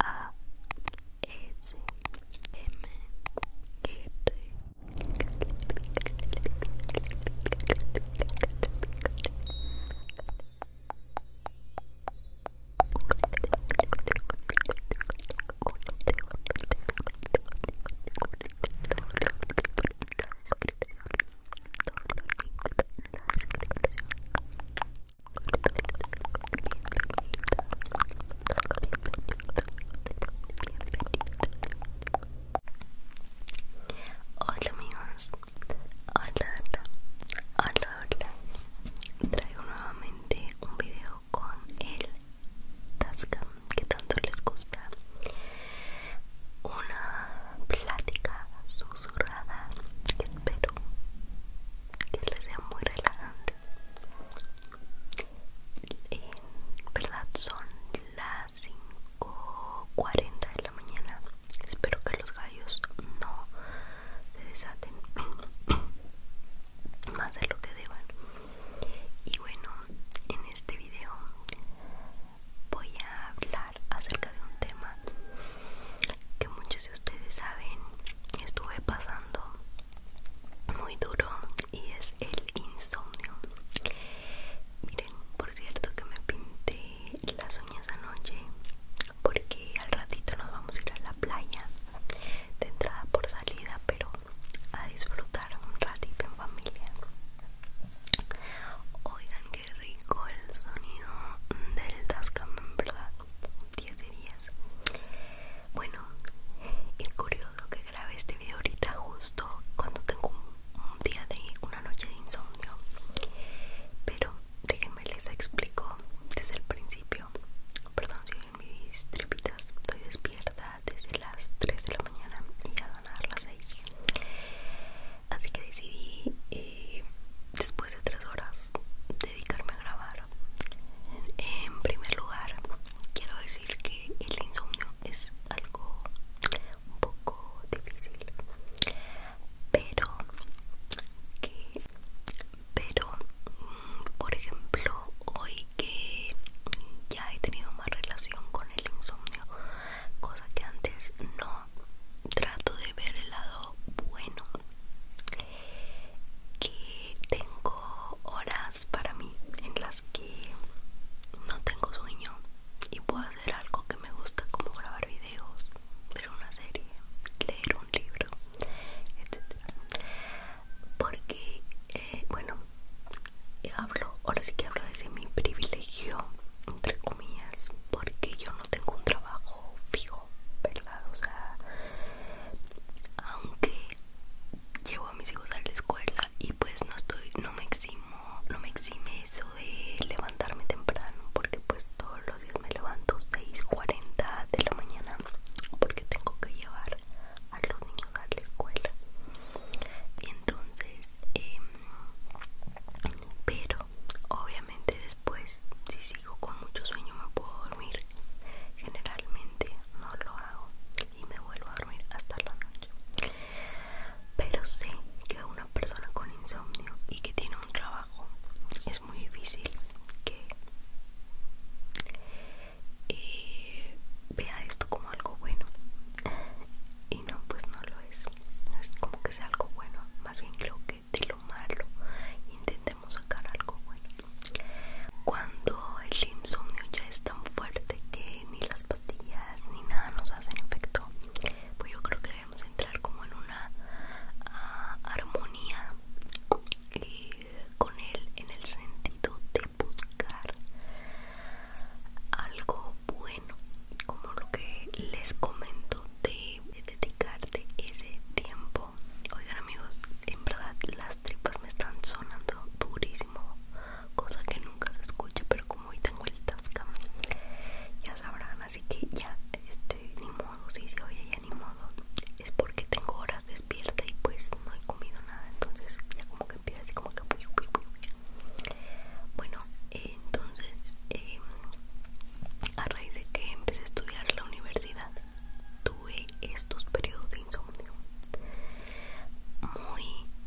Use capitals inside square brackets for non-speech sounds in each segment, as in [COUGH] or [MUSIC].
A S M Hola amigos, hola, hola, hola, traigo nuevamente un video con el Tascam que tanto les gusta. Una plática susurrada espero que les sea muy relajante. En verdad son las 40 de la mañana. Espero que los gallos no se desaten [COUGHS] más de lo que deban. Y bueno, en este video voy a hablar acerca de un tema que muchos de ustedes saben estuve pasando muy duro y es el insomnio. Miren, por cierto que me pinté las uñas anoche porque al ratito nos vamos a ir a la playa de entrada por salida, pero a disfrutar un ratito en familia. Oigan, que Qué rico el sonido del Tascam, en verdad. 10 días Bueno, es curioso que grabé este video ahorita justo cuando tengo un, día de una noche de insomnio. Pero déjenme les explico desde el principio. Perdón si ven mis tripitas. Estoy despierta desde las 3 de la mañana y ya van a dar las 6. Así que decidí, eh, después de 3 horas, dedicarme a grabar. En primer lugar, quiero decir que el insomnio es algo un poco difícil, pero que, pero, mm, por ejemplo, hoy que ya he tenido más relación con el insomnio, cosa que antes no trato de ver el lado bueno que tengo horas para mí en las que no tengo sueño y puedo hacer algo que me gusta como grabar videos, ver una serie, leer un libro, etc. Porque, eh, bueno, hablo, ahora sí que hablo desde mi privilegio, entre comillas, porque yo no tengo un trabajo fijo aunque llevo a mis hijos a la escuela y pues no estoy, no me eximo, no me exime eso de levantarme temprano porque pues todos los días me levanto 6.40 de la mañana porque tengo que llevar a los niños a la escuela. Y entonces, em, pero Obviamente después, si sigo con mucho sueño me puedo dormir. Generalmente no lo hago y me vuelvo a dormir hasta la noche. Pero sé que una persona con insomnio y que tiene un trabajo es muy difícil que eh, vea esto como algo bueno. Y no, pues no lo es. No es como que sea algo bueno. Más bien creo de lo malo intentemos sacar algo bueno. Cuando el insomnio ya es tan fuerte que ni las pastillas ni nada nos hacen efecto, pues yo creo que debemos entrar como en una ah, armonía eh, con él en el sentido de buscar algo bueno como lo que les comento de, dedicarte ese tiempo. Oigan amigos, en verdad las tripas me están sonando durísimo, cosa que nunca se escucha, pero como hoy tengo el tasca, ya sabrán, así que ya, este, ni modo, sí, se oye, ya ni modo. Es porque tengo horas despierta y pues no he comido nada, entonces ya como que empieza así como que... Bueno, entonces... Eh, raíz de que empecé a estudiar la universidad tuve estos periodos de insomnio muy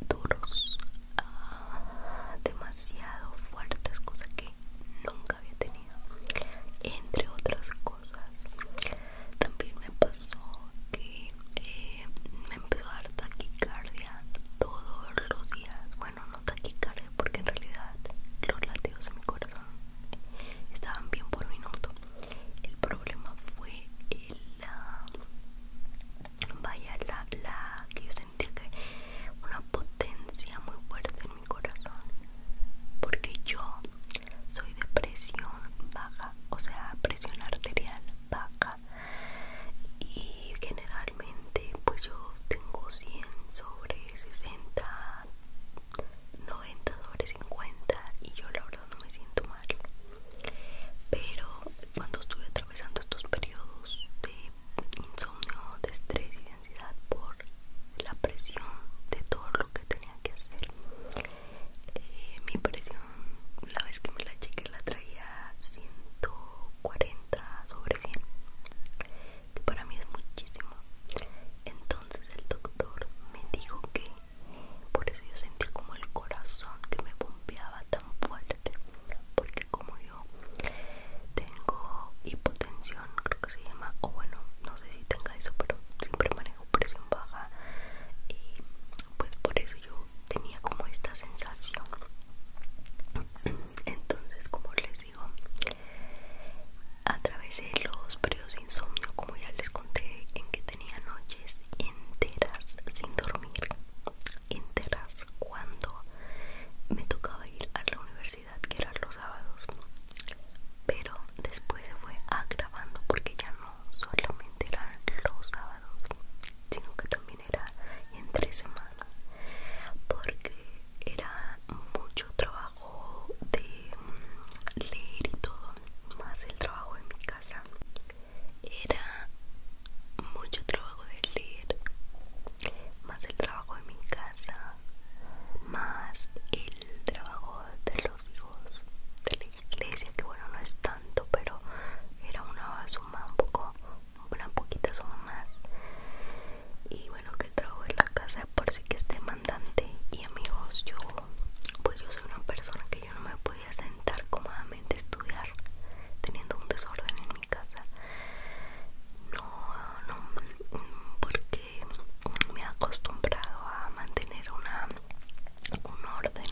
duros, ah, demasiado fuertes, cosas que nunca había tenido, entre otras cosas. También me pasó que eh, me empezó a dar taquicardia todos los días. Bueno, no taquicardia porque en realidad los latidos de mi corazón estaban bien por minuto el problema fue la ah, vaya la, la que yo sentía que una potencia muy fuerte en mi corazón porque yo soy de presión baja o sea presión arterial baja y generalmente pues yo tengo 100 sobre 60 90 sobre 50 y yo la verdad no me siento mal pero cuando estuve atravesando estos periodos de insomnio de estrés y ansiedad por la presión de todo lo que tenía que hacer eh, mi presión la vez que me la cheque la traía 140 sobre 100 para mí es muchísimo. Entonces el doctor me dijo que por eso yo sentí como el corazón que me bombeaba tan fuerte, porque como yo tengo hipotensión, creo que se llama, o bueno, no sé si tenga eso, pero siempre manejo presión baja y pues por eso yo tenía como esta sensación. Entonces, como les a través de los periodos de insomnio como ya les conté en que tenía noches enteras sin dormir enteras cuando me tocaba ir a la universidad que eran los sábados pero después se fue agravando porque ya no solamente eran los sábados sino que también era entre semana porque era mucho trabajo de mm, leer y todo, más el trabajo en mi casa, era mucho trabajo de leer, más el trabajo en mi casa, más el trabajo de los hijos de la iglesia, que bueno, no es tanto, pero era una suma un poco, una poquita suma más y bueno que trabajo en la casa por si que esté mandante y amigos yo pues yo soy una persona que yo no me podía sentar cómodamente a estudiar teniendo un desorden en mi casa no no porque me he acostumbrado a mantener una un orden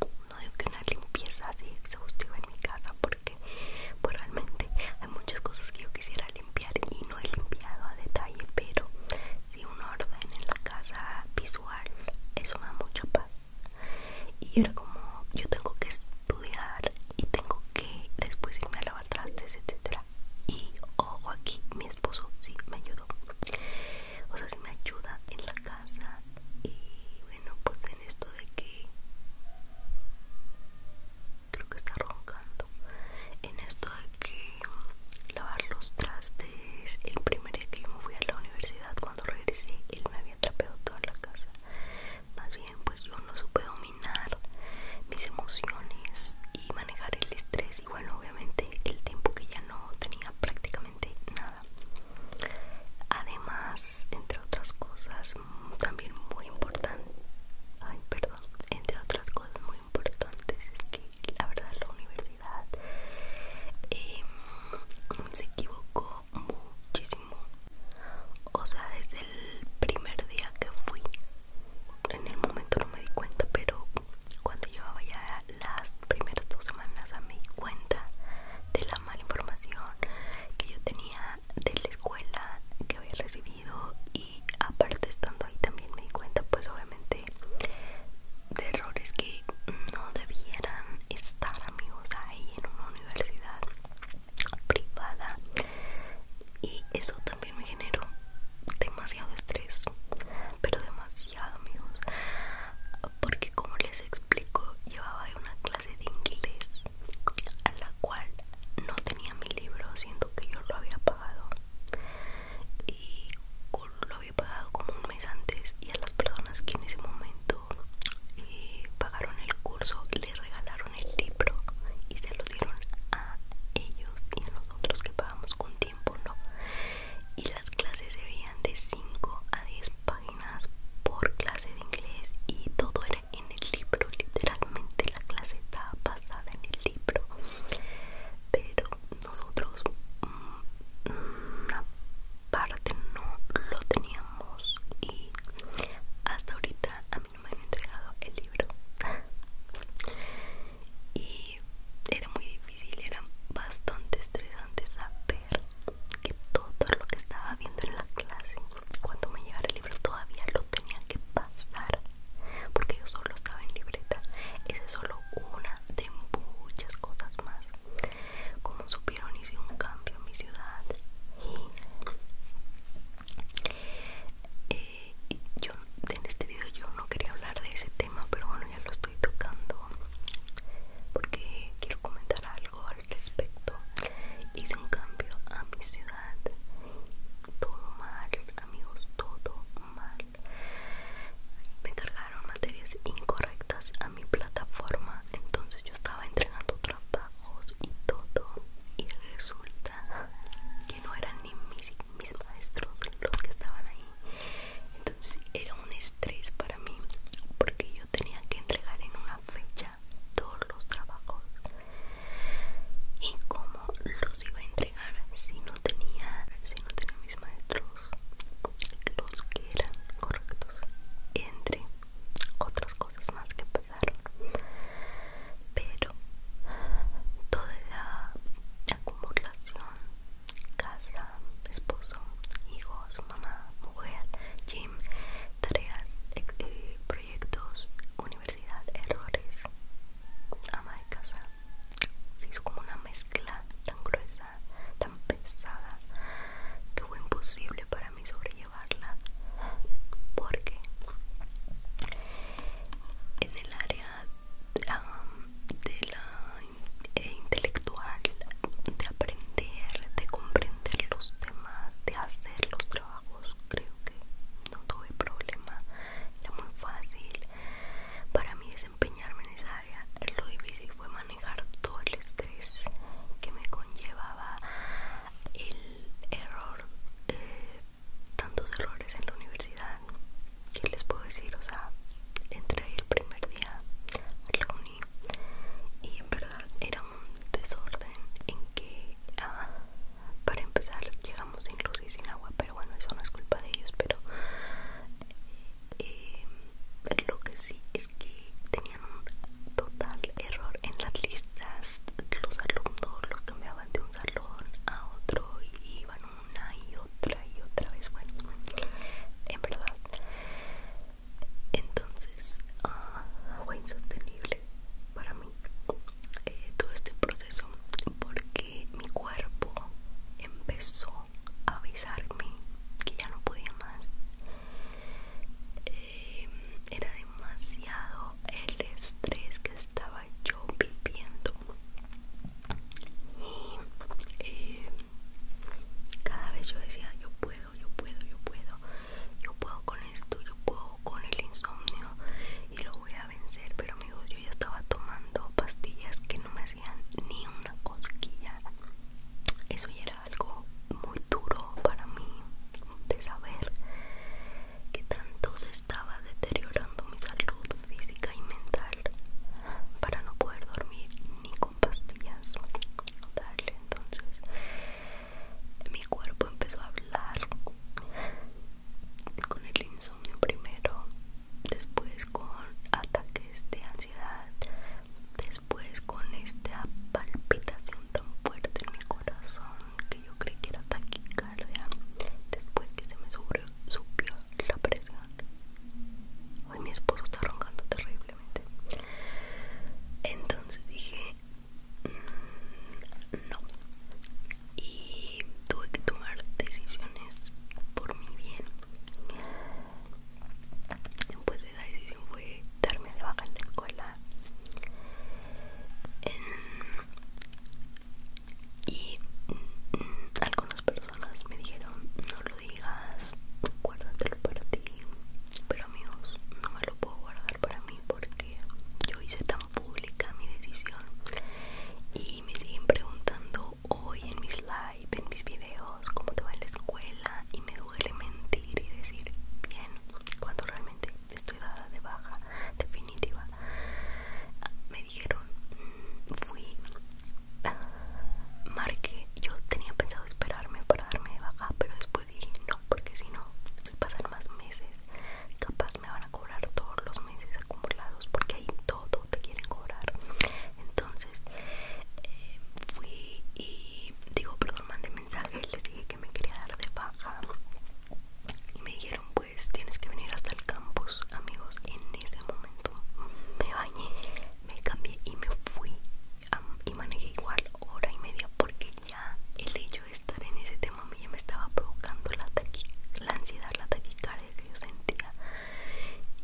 no digo que una limpieza así exhaustiva en mi casa porque pues, realmente hay muchas cosas que yo quisiera limpiar y no he limpiado a detalle pero si un orden en la casa visual eso me da mucha paz y era como yo tengo que estudiar y tengo que después irme a lavar trastes etcétera y ojo aquí mi esposo sí me ayudó o sea si sí me ayuda en la casa y bueno pues en esto de que creo que está roncando en esto de que mm, lavar los trastes el primer día que yo me fui a la universidad cuando regresé él me había trapeado toda la casa más bien pues yo no supe dominar mis emociones y manejar el estrés y bueno obviamente el tiempo que ya no tenía prácticamente nada además entre otras cosas mm, también muy importante ay perdón entre otras cosas muy importantes es que la verdad la universidad em, se equivocó muchísimo o sea desde el primer día que fui en el momento no me di cuenta pero cuando llevaba ya las primeras dos semanas me di cuenta de la mala información que yo tenía de la escuela que había recibido y aparte estando ahí también me di cuenta pues obviamente de errores que no debieran estar amigos ahí en una universidad privada y eso también me generó demasiado estrés pero demasiado amigos porque como les explico llevaba una clase de inglés a la cual no tenía mi libro siendo que yo lo había pagado y lo había pagado como un mes antes y a las personas que en ese momento eh, pagaron el curso le regalaron el libro y se lo dieron a ellos y a nosotros que pagamos con tiempo no y las clases se veían de 5 a 10 páginas por clase de inglés y todo era en el libro literalmente la clase estaba basada en el libro pero nosotros mm, una parte no lo teníamos y hasta ahorita a mí no me han entregado el libro y era muy difícil era bastante estresante saber que todo lo que estaba viendo en la clase cuando me llegara el libro todavía lo tenía que pasar porque yo solo estaba en libreta. Esa es solo una de muchas cosas más. Como supieron, hice un cambio en mi ciudad eh, y, yo en este video yo no quería hablar de ese tema, pero bueno, ya lo estoy tocando porque quiero comentar algo al respecto. Hice un cambio a mi ciudad, todo mal, amigos todo mal me cargaron materias incorrectas a mi plataforma entonces yo estaba entregando trabajos y todo y resulta que no eran ni mis, maestros los que estaban ahí entonces era un estrés para mí porque yo tenía que entregar en una fecha todos los trabajos y cómo los iba a entregar si no tenía si no tenía mis maestros los que eran correctos entre otras cosas más que pasaron pero toda la acumulación casa esposo hijos mamá mujer gym tareas eh, proyectos universidad errores ama de casa se hizo como una mezcla tan gruesa, tan pesada, que fue imposible para mí sobrellevarla. Porque en el área de la eh, intelectual, de aprender, de comprender los temas, de hacer los trabajos, creo que no tuve problema. Era muy fácil para mí desempeñarme en esa área, lo difícil fue manejar todo el estrés que me conllevaba el error, eh, tantos errores en la universidad. ¿Qué les puedo decir? O sea, entré el primer día reuní y en verdad era un desorden en que ah, para empezar llegamos sin luz y sin agua pero bueno eso no es culpa de ellos pero eh, lo que sí es que tenían un total error en las listas los alumnos los cambiaban de un salón a otro y iban una y otra y otra vez bueno en verdad entonces ah, fue insostenible para mí eh, todo este proceso porque mi cuerpo empezó a avisarme que ya no podía más. Eh, era demasiado el estrés que estaba yo viviendo. Y eh, cada vez yo decía, yo puedo, yo puedo, yo puedo, yo puedo con esto, yo puedo con el insomnio, y lo voy a vencer pero amigos yo ya estaba tomando pastillas que no me hacían ni una cosquilla eso ya era algo muy duro para mí de saber que tanto se estaba deteriorando mi salud física y mental para no poder dormir ni con pastillas darle entonces mi cuerpo empezó a hablar con el insomnio primero después con ataques de ansiedad, después con esta palpitación tan fuerte en mi corazón que yo creí que era taquicardia, después que se me subió, la presión. Hoy mi esposo está roncando terriblemente. Entonces dije, mm, no, y tuve que tomar decisiones por mi bien de pues esa decisión fue darme de baja en la escuela y mm, algunas personas me dijeron no lo digas guárdatelo para ti pero amigos no me lo puedo guardar para mí porque yo hice tan pública mi decisión y y me siguen preguntando hoy en mis live, en mis videos, cómo te va en la escuela y me duele mentir y decir bien cuando realmente estoy dada de baja definitiva. Me dijeron, mm, fui, ah, marqué, yo tenía pensado esperarme para darme de baja, pero después dije no, porque si no, pasan más meses, capaz me van a cobrar todos los meses acumulados porque ahí todo te quieren cobrar entonces eh, fui y digo perdón mandé mensaje les dije que me quería dar de baja y me dijeron pues tienes que venir hasta el campus amigos en ese momento me bañé me cambié y me fui y manejé igual hora y media porque ya el hecho de estar en ese tema a mí ya me estaba provocando la, la ansiedad, la taquicardia que yo sentía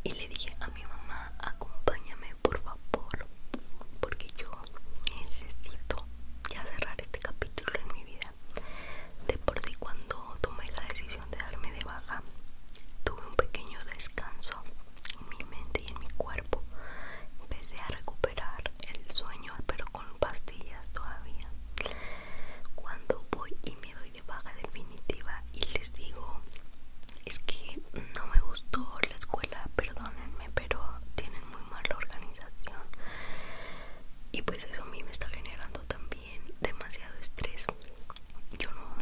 y le dije a mi mamá acompáñame por favor porque yo necesito ya cerrar este capítulo en mi vida de por sí cuando tomé la decisión de darme de baja tuve un pequeño descanso en mi mente y en mi cuerpo empecé a recuperar el sueño pero con pastillas todavía cuando voy y me doy baja definitiva y les digo, es que no me gustó la escuela, perdónenme, pero tienen muy mala organización. Y pues eso a mí me está generando también demasiado estrés. Yo no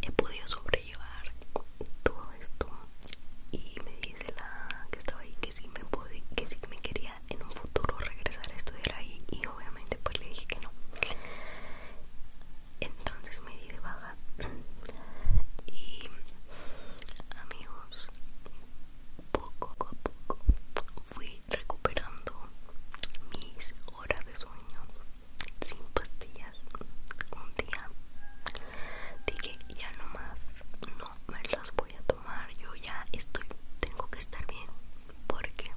he podido sobrellevar todo esto. Y me dice la que estaba ahí que sí me, que sí me quería en un futuro regresar a estudiar ahí y obviamente pues le dije que no entonces me di de baja [CLEARS THROAT] y amigos poco a poco fui recuperando mis horas de sueño sin pastillas un día dije ya no más no me las voy a tomar yo ya estoy tengo que estar bien porque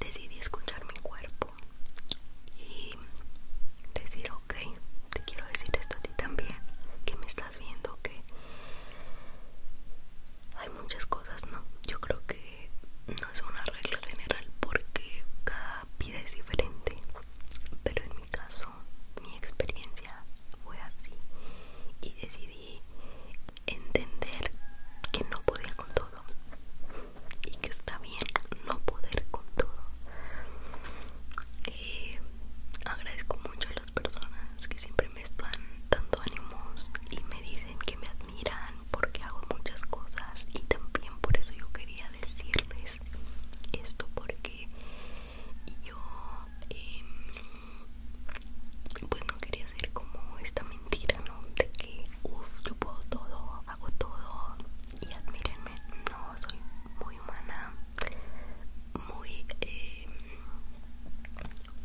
decidí escuchar mi cuerpo y decir ok te quiero decir esto a ti también que me estás viendo que hay muchas cosas no yo creo que no es una regla general porque cada vida es diferente pero en mi caso mi experiencia fue así y decidí entender que no podía con todo y que está bien no poder con todo. Eh, agradezco mucho a las personas que siempre me están dando ánimos y me dicen que me admiran porque hago muchas cosas y también por eso yo quería decirles esto porque yo em, pues no quería hacer como esta mentira, ¿no? De que, uff, yo puedo todo, hago todo y admírenme, no, soy muy humana, muy eh,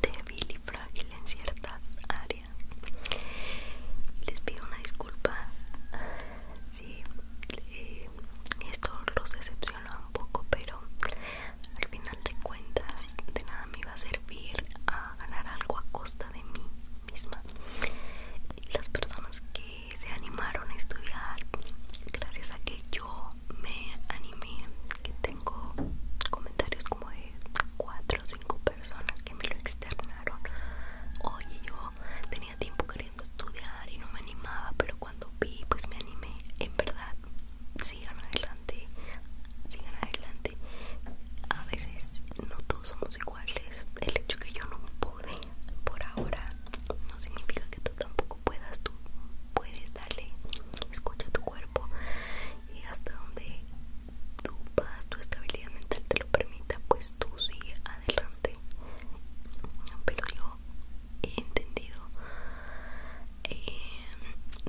débil y frágil en ciertas áreas. Les pido una disculpa si eh, esto los decepciona un poco, pero al final de cuentas de nada me a servir a ganar algo a costa de mí misma. Las personas que se animaron a estudiar, gracias a que yo me animé, que tengo comentarios como de cuatro o cinco personas que me lo externaron. Oye, yo tenía tiempo queriendo estudiar y no me animaba, pero cuando vi, pues me animé. En verdad sigan adelante sigan adelante a veces no todos somos iguales el hecho que yo no pude por ahora no significa que tú tampoco puedas tú puedes darle escucha tu cuerpo y hasta donde tu paz tu estabilidad mental te lo permita pues tú sigue adelante pero yo he entendido eh,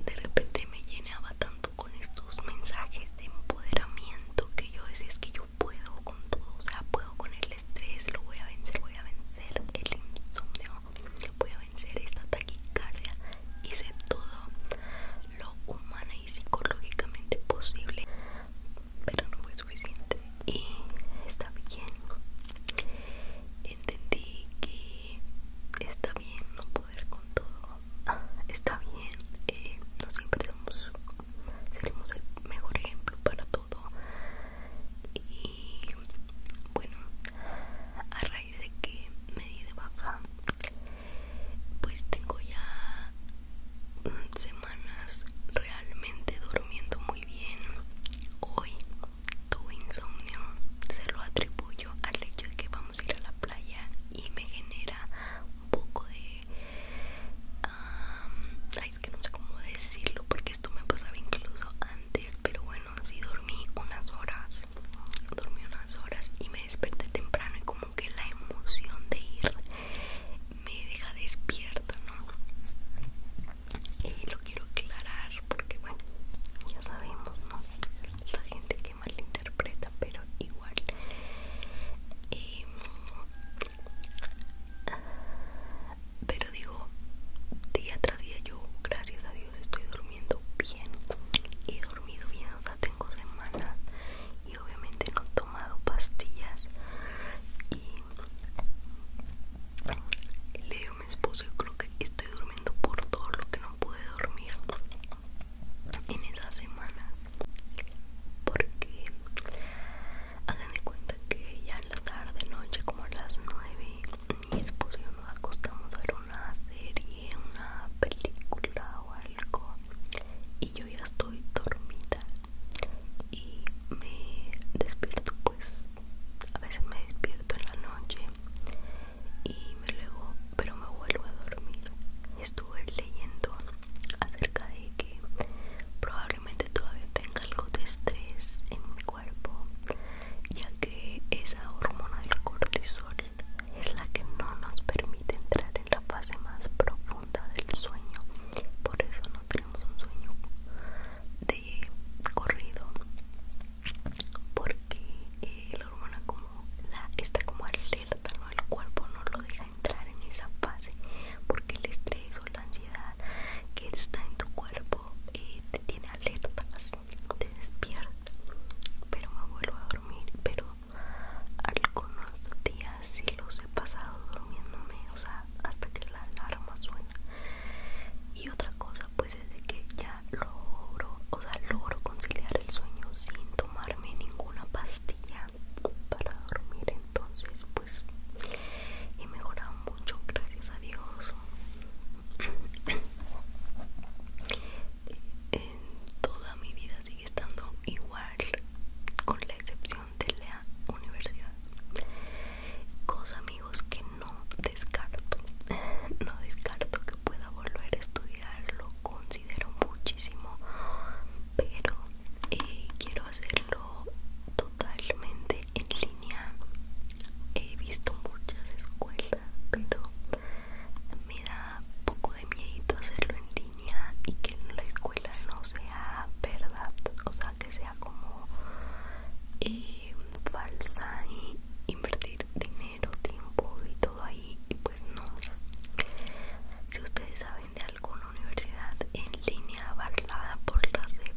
de repente me llenaba tanto con estos mensajes de empoderamiento que yo decía es que yo puedo con todo, o sea, puedo con el estrés, lo voy a vencer, voy a vencer el insomnio, voy a vencer esta taquicardia, hice todo lo humana y psicológicamente posible, pero no fue suficiente y está bien. Entendí que está bien no poder con todo, está bien, eh, no siempre seremos el mejor ejemplo para todo. Y bueno, a raíz de que me di de baja, pues tengo ya mm, semanas realmente durmiendo muy bien. Hoy tu insomnio, se lo atribuyo al hecho de que vamos a ir a la playa y me genera un poco de... es que no sé cómo decirlo porque esto me pasaba incluso antes, pero bueno, si dormí unas horas, dormí unas horas y me desperté temprano y como que la emoción de ir me deja despierta, ¿no? Y lo quiero aclarar porque bueno, ya sabemos, ¿no? La gente que mal interpreta pero igual. Em, pero digo, día tras día yo, gracias a Dios, estoy durmiendo bien. He dormido bien, o sea, tengo semanas y obviamente no he tomado pastillas. Y leo a mi esposo, yo creo que estoy durmiendo por todo lo que no pude dormir en esas semanas porque hagan de cuenta que ya en la tarde noche como a las 9 mi esposo y yo nos acostamos a ver una serie una película o algo y yo ya estoy dormida y me despierto pues a veces me despierto en la noche y luego pero me vuelvo a dormir estuve leyendo acerca de que probablemente todavía tenga algo de estrés en mi cuerpo ya que esa hormona del cortisol es la que no nos permite entrar en la fase más profunda del sueño por eso no tenemos un sueño de corrido porque eh, la hormona como está como alerta al el cuerpo no lo deja entrar en esa fase porque el estrés o la ansiedad que está en tu cuerpo eh, te tiene alerta te despierta pero me vuelvo a dormir pero algunos días sí los he pasado durmiéndome o sea hasta que la alarma suena y otra cosa pues es de que ya logro, o sea, logro conciliar el sueño sin tomarme ninguna pastilla para dormir. Entonces, pues he mejorado mucho, gracias a Dios. [COUGHS] toda mi vida sigue estando igual, con la excepción de la universidad. Cosa amigos que no descarto, [LAUGHS] no descarto que pueda volver a estudiar lo considero muchísimo pero eh, quiero hacerlo totalmente en línea he visto muchas escuelas pero me da poco de miedo hacerlo en línea y que la escuela no sea verdad o sea que sea como eh, falsa y invertir dinero tiempo y todo ahí y pues no si ustedes saben de alguna universidad en línea avalada por la CEP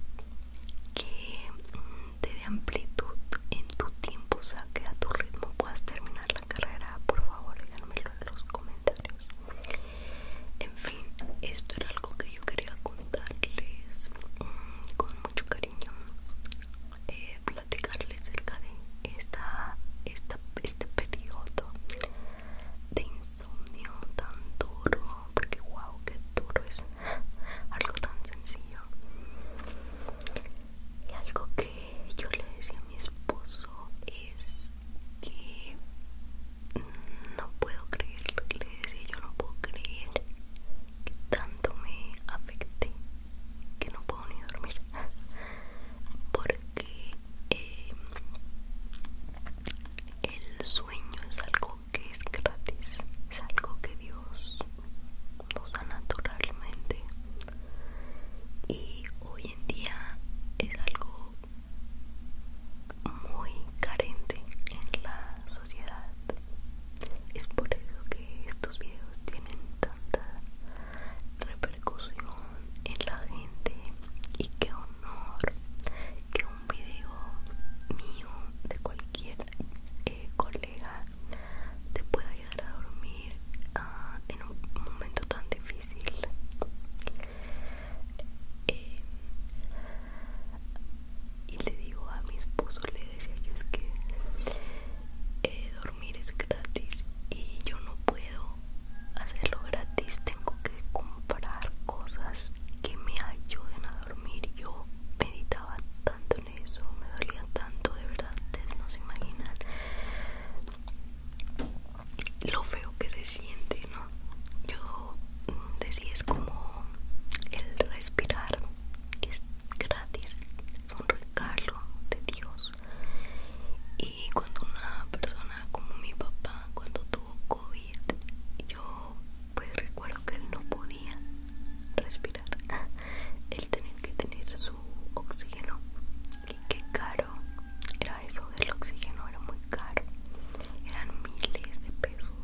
que mm, te dé amplitud en tu tiempo, o sea que a tu ritmo puedas terminar la carrera, por favor díganmelo en los comentarios. En fin, esto era algo que yo quería contarles mm, con mucho cariño eh, platicarles acerca de esta, este periodo de insomnio tan duro porque wow que duro es algo tan sencillo y algo que yo le decía a mi esposo es que no puedo creer le decía yo no puedo creer que tanto me afecte que no puedo ni dormir [LAUGHS] porque eh, el sueño es algo que es gratis es algo que Dios nos da naturalmente y hoy en día es algo muy carente en la sociedad es por eso que estos videos tienen repercusión en la gente y qué honor que un video mío de cualquier eh, colega te pueda ayudar a dormir ah, en un momento tan difícil eh, y le digo a mi esposo le decía yo es que eh, dormir es gratis y yo no puedo hacerlo gratis tengo que comprar cosas que me ayuden a dormir yo meditaba tanto en eso me dolía tanto de verdad ustedes no se imaginan lo feo que se siente no yo mm, decía es como el respirar es gratis es un regalo de Dios y cuando una persona como mi papá cuando tuvo COVID yo pues recuerdo que él no podía respirar [LAUGHS] él tenía que tener su oxígeno y qué caro era eso del oxígeno era muy caro eran miles de pesos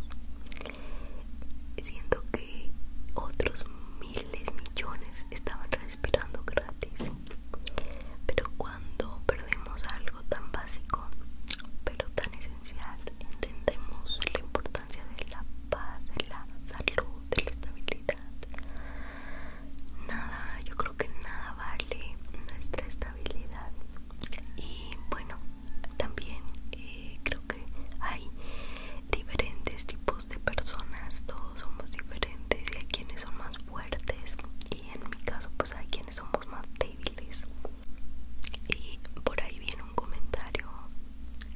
siento que otros miles millones estaban esperando gratis. Pero cuando perdemos algo tan básico, pero tan esencial, entendemos la importancia de la paz, de la salud, de la estabilidad. Nada, yo creo que nada vale nuestra estabilidad. Y bueno, también eh, creo que hay diferentes tipos de personas, todos somos diferentes y hay quienes son más fuertes y en mi caso pues hay quienes somos más débiles. Y por ahí viene un comentario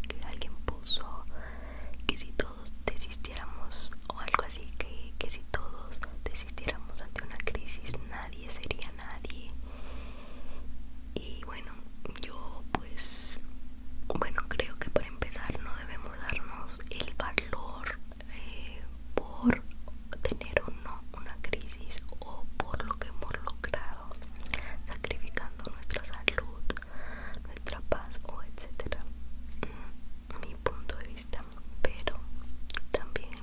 que alguien puso que si todos desistiéramos o algo así, que, que si todos desistiéramos ante una crisis nadie sería nadie. Y bueno, yo pues, bueno, creo que para empezar debemos darnos el valor eh, por tener o no una crisis o por lo que hemos logrado, sacrificando nuestra salud, nuestra paz o etcétera. Mm, mi punto de vista, pero también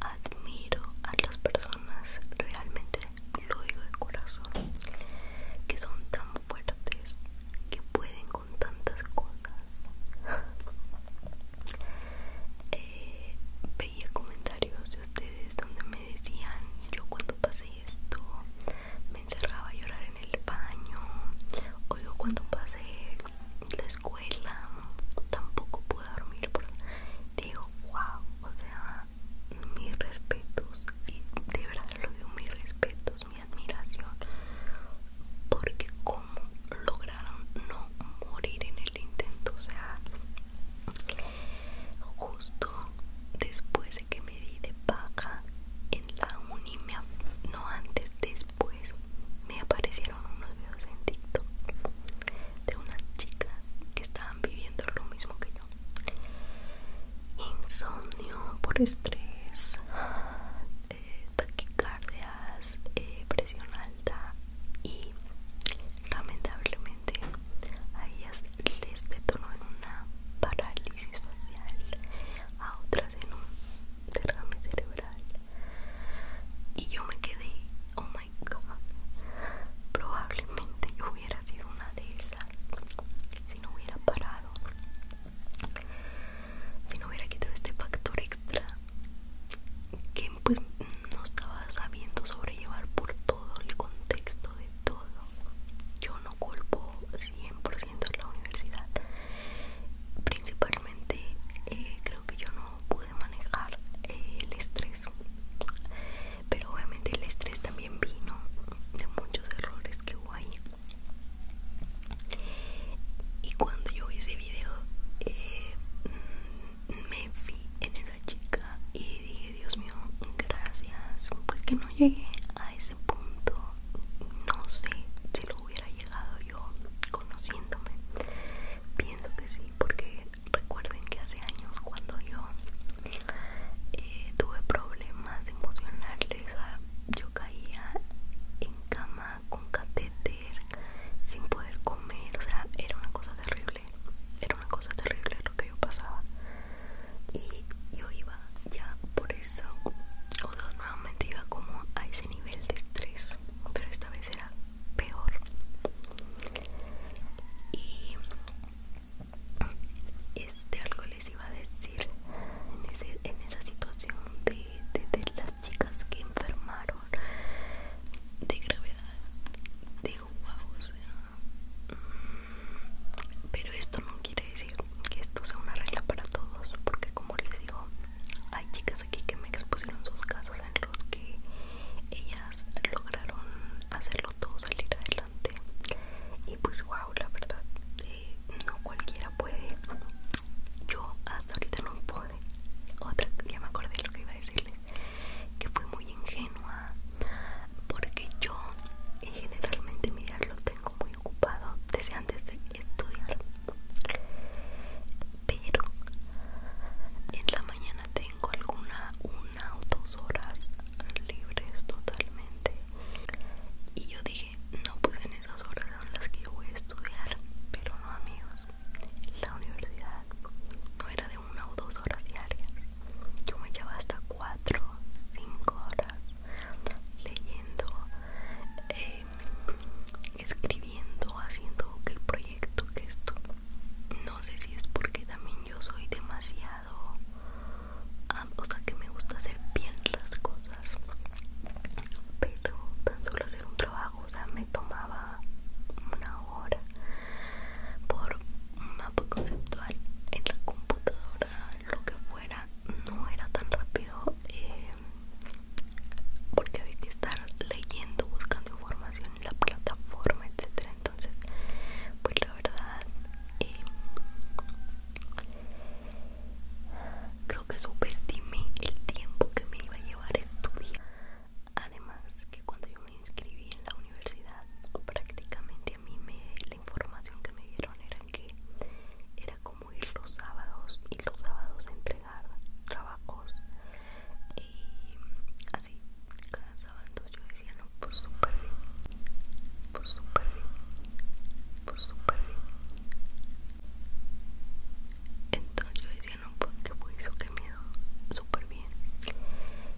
admiro a las personas realmente lo digo de corazón que son tan fuertes que pueden con tantas cosas [LAUGHS] eh, veía comentarios de ustedes donde me decían yo cuando pasé esto me encerraba a llorar en el baño o cuando pasé la escuela tampoco pude dormir digo wow o sea mis respetos y de verdad lo digo mis respetos admiración porque como lograron no morir en el intento, o sea, justo después de que me di de baja en la me no antes, después me aparecieron unos videos en TikTok de unas chicas que estaban viviendo lo mismo que yo. Insomnio por estrés, eh, taquicardias, eh, presión alta y lamentablemente a ellas les detonó en una parálisis facial, a otras en un derrame cerebral y yo me quedé, oh my god, probablemente yo hubiera sido una de esas si no hubiera parado si no hubiera quitado este factor extra que pues no estaba sabiendo sobrellevar por todo el contexto de todo yo no culpo 100% la universidad principalmente eh, creo que yo no pude manejar eh, el estrés pero obviamente el estrés también vino de muchos errores que y cuando yo vi ese video eh, mm, me fui en esa chica y dije Dios mío gracias pues que no llegué a ese punto no sé si lo hubiera llegado yo conociéndome pienso que sí porque recuerden que hace años cuando yo eh, tuve problemas emocionales yo caía en cama con catéter sin poder comer, o sea, era una cosa terrible, era una cosa terrible lo que yo pasaba. Y yo iba ya por eso, o nuevamente iba como a ese nivel de estrés, pero esta vez era peor. Y este alcohol les iba a decir en, esa situación de, las chicas que enfermaron de gravedad digo wow mm, pero esto no quiere decir que esto sea una regla para todos porque como les digo hay chicas aquí que me expusieron sus casos en los que ellas lograron hacerlo todo salir adelante y pues wow la verdad eh, no cualquiera puede yo hasta ahorita no pude otra ya me acordé lo que iba a decirle que fui muy ingenua porque yo eh, generalmente mi día lo tengo muy ocupado desde antes de estudiar pero en la mañana tengo alguna una o dos horas libres totalmente y yo dije no pues en esas horas son las que yo voy a estudiar, pero no amigos, la universidad no era de una o dos horas diarias, yo me echaba hasta cuatro, cinco horas leyendo, em, escribiendo, haciendo el proyecto que esto, no sé si es porque también yo soy demasiado, o sea que me gusta hacer bien las cosas pero tan solo hacer un trabajo o sea me tomaba una hora por un mapa conceptual en la computadora lo que fuera no era tan rápido eh, porque había que estar leyendo buscando información en la plataforma etcétera entonces pues la verdad eh, Creo que subestimé el tiempo que me iba a llevar a estudiar. Además que cuando yo me inscribí en la universidad, prácticamente a mí me, la información que me dieron era que era como ir los sábados y los sábados a entregar trabajos y así cada sábado yo decía no pues súper pues súper bien pues súper bien entonces yo decía no porque pues, fue eso que miedo súper bien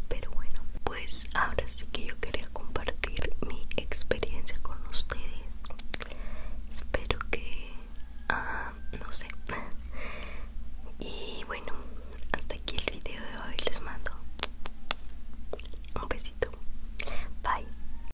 pero bueno pues ahora sí que yo quería compartir mi experiencia con ustedes espero que ah, no sé [LAUGHS] y bueno hasta aquí el video de hoy les mando un besito bye